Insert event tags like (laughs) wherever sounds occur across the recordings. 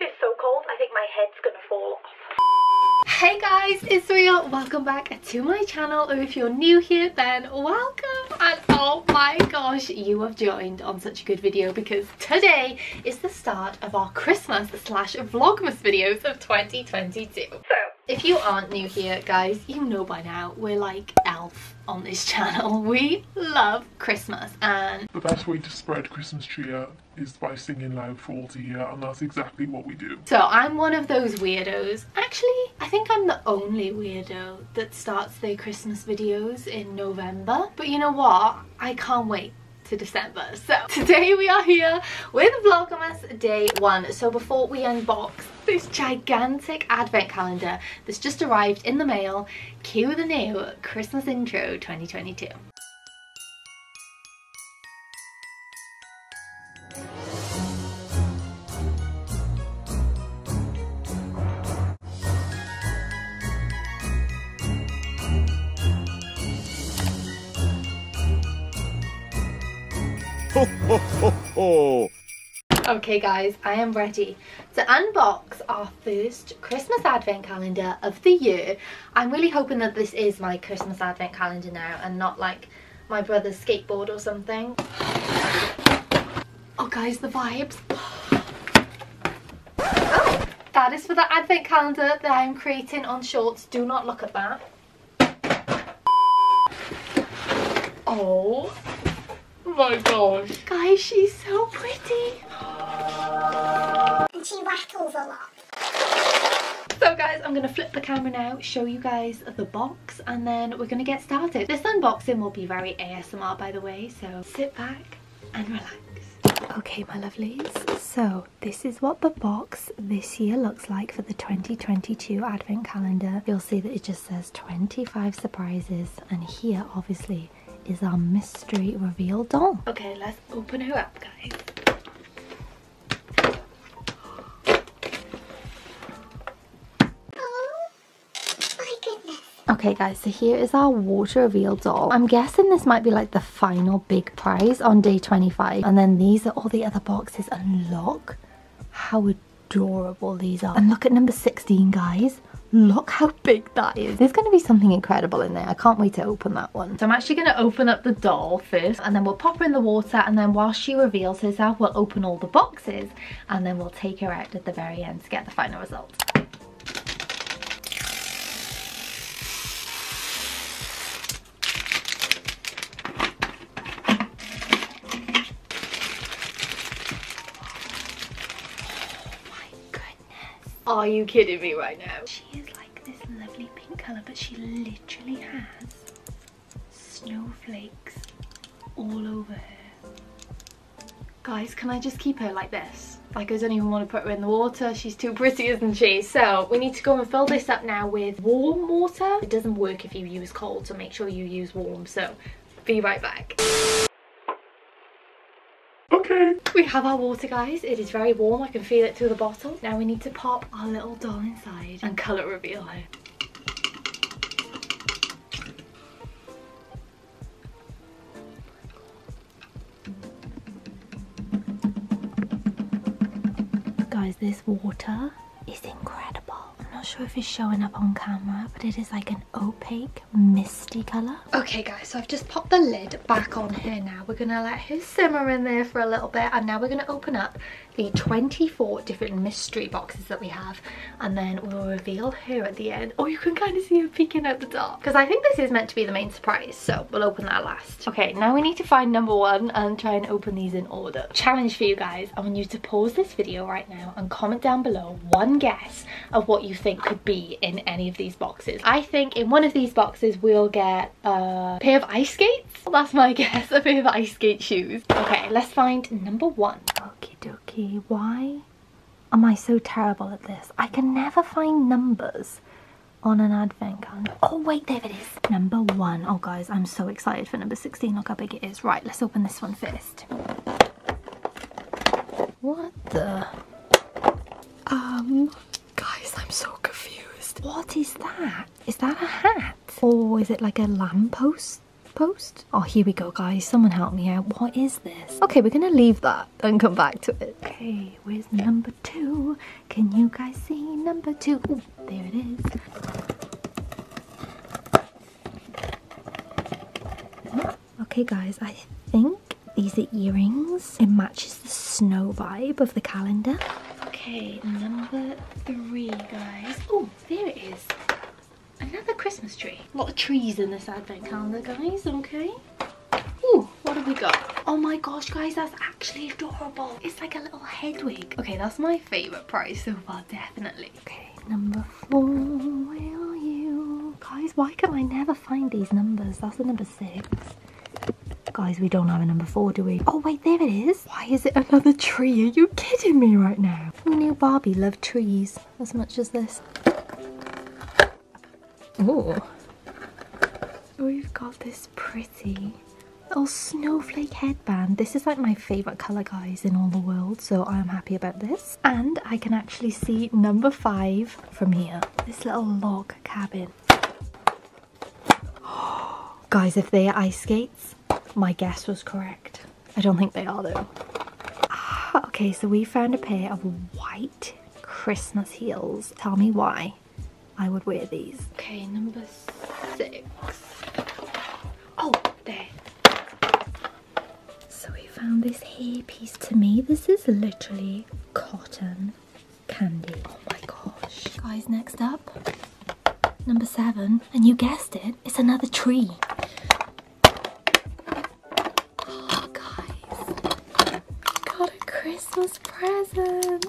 It's so cold, I think my head's gonna fall off. Hey guys, it's Real. Welcome back to my channel, or if you're new here, then welcome. And oh my gosh, you have joined on such a good video because today is the start of our Christmas slash Vlogmas videos of 2022. So, if you aren't new here, guys, you know by now, we're like elf on this (laughs) channel. We love Christmas and... The best way to spread Christmas cheer is by singing loud for all to hear and that's exactly what we do. So I'm one of those weirdos. Actually, I think I'm the only weirdo that starts their Christmas videos in November. But you know what? I can't wait to December. So (laughs) today we are here with Vlogmas day one. So before we unbox this gigantic advent calendar this just arrived in the mail. Cue the new Christmas intro 2022. Ho, ho, ho, okay guys, I am ready to unbox our first Christmas advent calendar of the year. I'm really hoping that this is my Christmas advent calendar now and not like my brother's skateboard or something. Oh guys, the vibes. Oh, that is for the advent calendar that I'm creating on shorts. Do not look at that. Oh Oh my gosh. Guys, she's so pretty. And she rattles a lot. So guys, I'm going to flip the camera now, show you guys the box, and then we're going to get started. This unboxing will be very ASMR, by the way, so sit back and relax. Okay, my lovelies, so this is what the box this year looks like for the 2022 Advent Calendar. You'll see that it just says 25 surprises, and here obviously is our mystery reveal doll. Okay, let's open her up, guys. Oh, okay guys, so here is our water reveal doll. I'm guessing this might be like the final big prize on day 25. And then these are all the other boxes. Unlock. How would? adorable these are. And look at number 16, guys. Look how big that is. There's gonna be something incredible in there. I can't wait to open that one. So I'm actually gonna open up the doll first and then we'll pop her in the water and then while she reveals herself, we'll open all the boxes and then we'll take her out at the very end to get the final result. Oh Are you kidding me right now? She is like this lovely pink colour, but she literally has snowflakes all over her. Guys, can I just keep her like this? Like, I don't even want to put her in the water. She's too pretty, isn't she? So, we need to go and fill this up now with warm water. It doesn't work if you use cold, so make sure you use warm. So, be right back. Okay. We have our water, guys. It is very warm. I can feel it through the bottle. Now we need to pop our little doll inside and colour reveal her. Guys, this water it's incredible. I'm not sure if he's showing up on camera, but it is like an opaque, misty color. Okay guys, so I've just popped the lid back on here now. We're gonna let her simmer in there for a little bit, and now we're gonna open up the 24 different mystery boxes that we have, and then we'll reveal her at the end. Or oh, you can kind of see her peeking out the top, because I think this is meant to be the main surprise, so we'll open that last. Okay, now we need to find number one and try and open these in order. Challenge for you guys, I want you to pause this video right now and comment down below one guess of what you think could be in any of these boxes. I think in one of these boxes we'll get a pair of ice skates. That's my (laughs) guess, a pair of ice skate shoes. Okay, let's find number one. Okie dokie, why am I so terrible at this? I can never find numbers on an advent calendar. Oh wait, there it is. Number one. Oh guys, I'm so excited for number 16. Look how big it is. Right, let's open this one first. What the? Um, guys, I'm so confused. What is that? Is that a hat? Or is it like a lamppost? post? Oh, here we go, guys. Someone help me out. What is this? Okay, we're gonna leave that and come back to it. Okay, where's number two? Can you guys see number two? there it is. Okay guys, I think these are earrings. It matches the snow vibe of the calendar. Okay, number three guys. Oh, there it is. Another Christmas tree. A lot of trees in this advent calendar guys, okay? Oh, what have we got? Oh my gosh, guys, that's actually adorable. It's like a little Hedwig. Okay, that's my favorite prize so far, definitely. Okay, number four. Where are you? Guys, why can I never find these numbers? That's the number six. Guys, we don't have a number four, do we? Oh, wait, there it is. Why is it another tree? Are you kidding me right now? Who knew Barbie loved trees as much as this? Oh. We've got this pretty Little snowflake headband. This is like my favourite colour, guys, in all the world, so I'm happy about this. And I can actually see number five from here. This little log cabin. (gasps) guys, if they are ice skates, my guess was correct. I don't think they are, though. Ah, okay, so we found a pair of white Christmas heels. Tell me why I would wear these. Okay, number six. Oh, there. So we found this hairpiece. To me, this is literally cotton candy. Oh my gosh. Guys, next up, number seven. And you guessed it, it's another tree. Oh, guys. Got a Christmas present.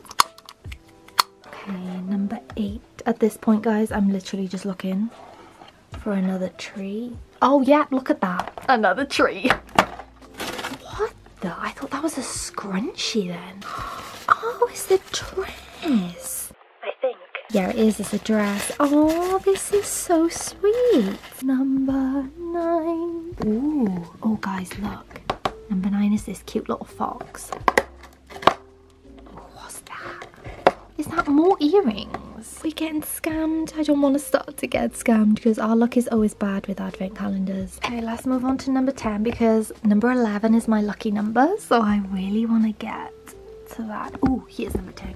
Okay, number eight. At this point, guys, I'm literally just looking for another tree. Oh, yeah, look at that. Another tree. What Though I thought that was a scrunchie then. Oh, it's the dress. I think. Yeah, it is. It's a dress. Oh, this is so sweet. Number nine. Ooh. Oh, guys, look. Number nine is this cute little fox. What's that? Is that more earrings? We're getting scammed. I don't want to start to get scammed because our luck is always bad with advent calendars. Okay, let's move on to number 10 because number 11 is my lucky number. So I really want to get to that. Oh, here's number 10.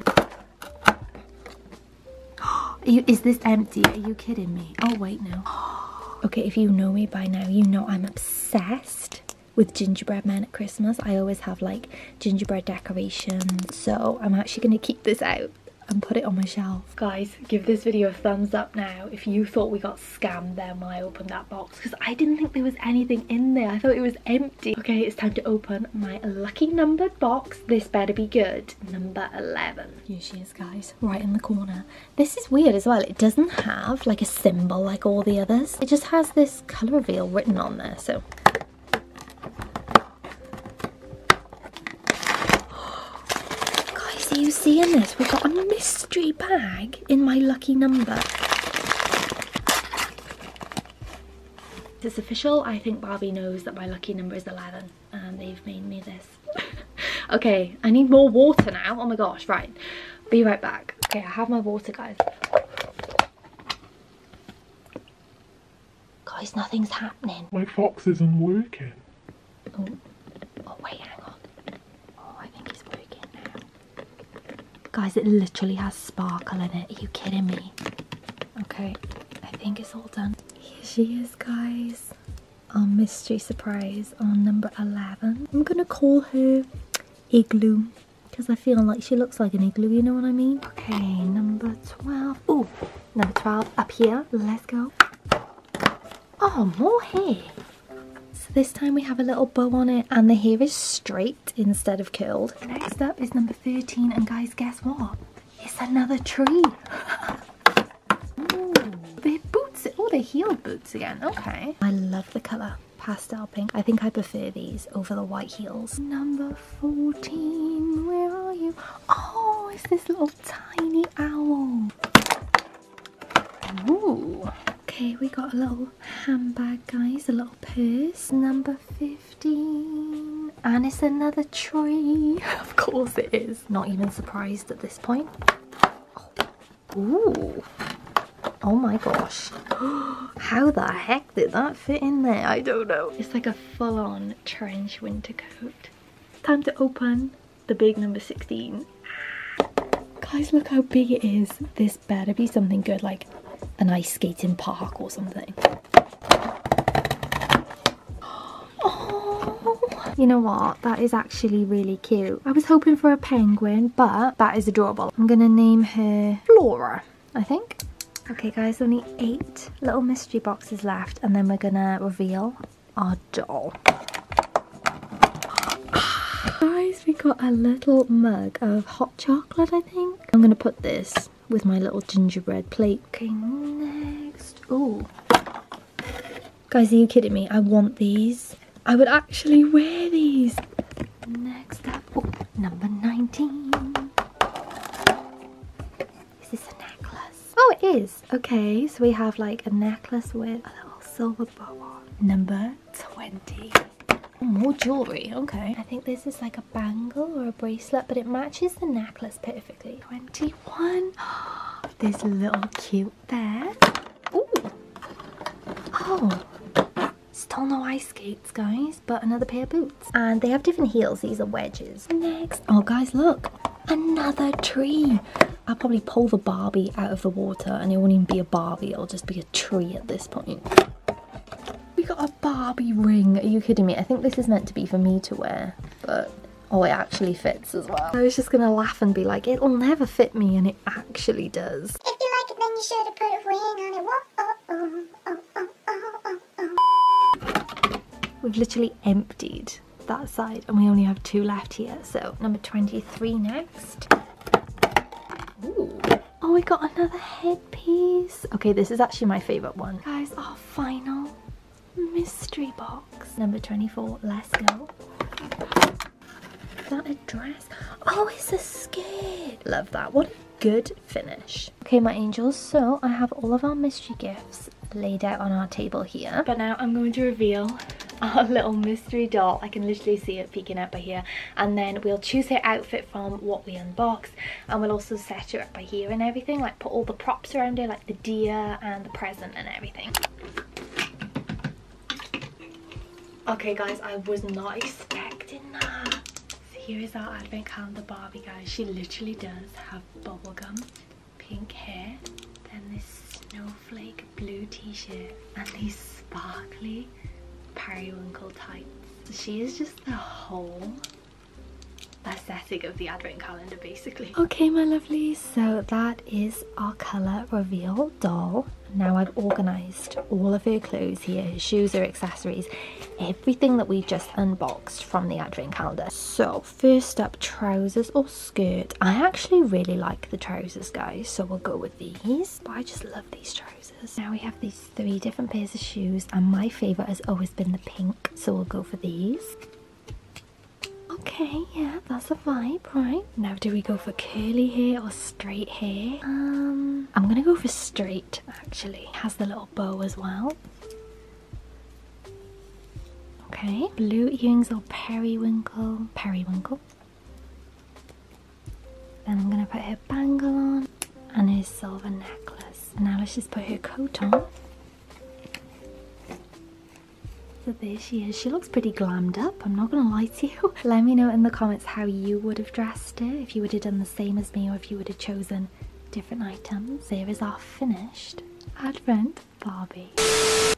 (gasps) is this empty? Are you kidding me? Oh, wait, no. (gasps) Okay, if you know me by now, you know I'm obsessed with gingerbread men at Christmas, I always have like gingerbread decorations. So I'm actually going to keep this out and put it on my shelf. Guys, give this video a thumbs up now if you thought we got scammed then when I opened that box because I didn't think there was anything in there. I thought it was empty. Okay, it's time to open my lucky numbered box. This better be good. Number 11. Here she is, guys, right in the corner. This is weird as well. It doesn't have like a symbol like all the others. It just has this colour reveal written on there. So (gasps) guys, are you seeing this? We've got a mystery bag in my lucky number. It's official. I think Barbie knows that my lucky number is 11 and they've made me this. (laughs) okay, I need more water now. Oh my gosh, right be right back okay i have my water guys guys nothing's happening my fox isn't working oh, oh wait hang on oh i think it's working now guys it literally has sparkle in it are you kidding me okay i think it's all done here she is guys our mystery surprise on number 11. I'm gonna call her Igloo because I feel like she looks like an igloo, you know what I mean? Okay, number 12. Oh, number 12 up here. Let's go. Oh, more hair. So this time we have a little bow on it and the hair is straight instead of curled. Next up is number 13 and guys, guess what? It's another tree. (laughs) Ooh, boots. Oh, the are heeled boots again. Okay. I love the colour. Pastel pink. I think I prefer these over the white heels. Number 14. Where are you? Oh, it's this little tiny owl. Ooh. Okay, we got a little handbag, guys. A little purse. Number 15. And it's another tree. (laughs) of course it is. Not even surprised at this point. Oh. Ooh. Oh my gosh. (gasps) How the heck did that fit in there? I don't know. It's like a full-on trench winter coat. time to open the big number 16. Guys, look how big it is. This better be something good, like an ice skating park or something. Oh, you know what? That is actually really cute. I was hoping for a penguin, but that is adorable. I'm gonna name her Flora, I think. Okay guys, only eight little mystery boxes left and then we're gonna reveal our doll. guys, we got a little mug of hot chocolate, I think. I'm gonna put this with my little gingerbread plate. Okay, next. Oh, Guys, are you kidding me? I want these. I would actually wear these. Next up, number 19. Is this a necklace? Oh, it is. Okay, so we have like a necklace with a little silver bow on. Number 20. more jewellery, okay. I think this is like a bangle or a bracelet, but it matches the necklace perfectly. 21. (gasps) this little cute there. Ooh. Oh. Still no ice skates, guys, but another pair of boots. And they have different heels. These are wedges. Next. Oh, guys, look. Another tree. I'll probably pull the Barbie out of the water and it won't even be a Barbie. It'll just be a tree at this point. We got a Barbie ring. Are you kidding me? I think this is meant to be for me to wear, but Oh, it actually fits as well. I was just gonna laugh and be like, it'll never fit me, and it actually does. If you like it, then you should have put a wing on it. Oh, oh, oh, We've literally emptied that side, and we only have two left here, so number 23 next. Oh, we got another headpiece. Okay, this is actually my favorite one. Guys, our final mystery box. Number 24, let's go. Is that a dress? Oh, it's a skirt. Love that. What a good finish. Okay, my angels, so I have all of our mystery gifts laid out on our table here. But now I'm going to reveal (laughs) our little mystery doll. I can literally see it peeking out by here. And then we'll choose her outfit from what we unbox. And we'll also set her up by here and everything. Like put all the props around her, like the deer and the present and everything. Okay guys, I was not expecting that. here is our advent calendar Barbie guys. She literally does have bubblegum, pink hair, then this snowflake blue t-shirt and these sparkly periwinkle tights. She is just the whole the aesthetic of the advent calendar basically. Okay my lovelies. so that is our colour reveal doll. Now I've organised all of her clothes here, her shoes, her accessories, everything that we just unboxed from the advent calendar. So first up trousers or skirt. I actually really like the trousers guys, so we'll go with these. But I just love these trousers. Now we have these three different pairs of shoes and my favourite has always been the pink, so we'll go for these. Okay, yeah, that's a vibe, right? Now, do we go for curly hair or straight hair? Um, I'm gonna go for straight, actually. Has the little bow as well. Okay, blue earrings or periwinkle? Periwinkle. Then I'm gonna put her bangle on and her silver necklace. And now let's just put her coat on. So there she is. She looks pretty glammed up, I'm not gonna lie to you. (laughs) Let me know in the comments how you would have dressed it if you would have done the same as me or if you would have chosen different items. There is our finished Advent Barbie.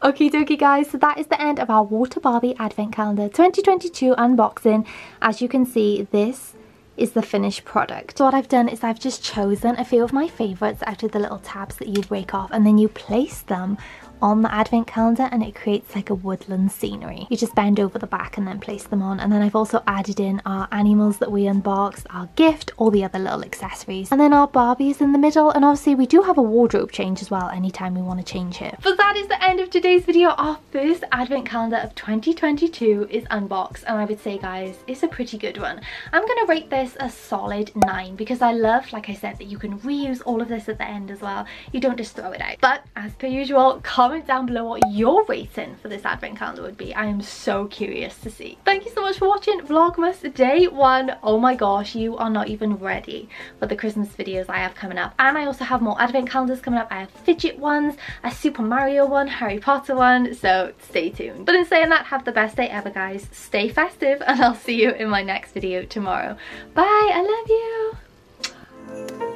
Okie dokie guys, so that is the end of our Water Barbie Advent Calendar 2022 unboxing. As you can see, this is the finished product. what I've done is I've just chosen a few of my favorites out of the little tabs that you break off and then you place them on the advent calendar and it creates like a woodland scenery. You just bend over the back and then place them on and then I've also added in our animals that we unboxed, our gift, all the other little accessories and then our Barbie is in the middle and obviously we do have a wardrobe change as well anytime we want to change it. But that is the end of today's video. Our first advent calendar of 2022 is unboxed and I would say guys it's a pretty good one. I'm going to rate this a solid 9 because I love, like I said, that you can reuse all of this at the end as well. You don't just throw it out. But as per usual, comment down below what your rating for this advent calendar would be. I am so curious to see. Thank you so much for watching Vlogmas day one. Oh my gosh, you are not even ready for the Christmas videos I have coming up. And I also have more advent calendars coming up. I have fidget ones, a Super Mario one, Harry Potter one. So stay tuned. But in saying that, have the best day ever, guys. Stay festive, and I'll see you in my next video tomorrow. Bye, I love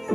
you.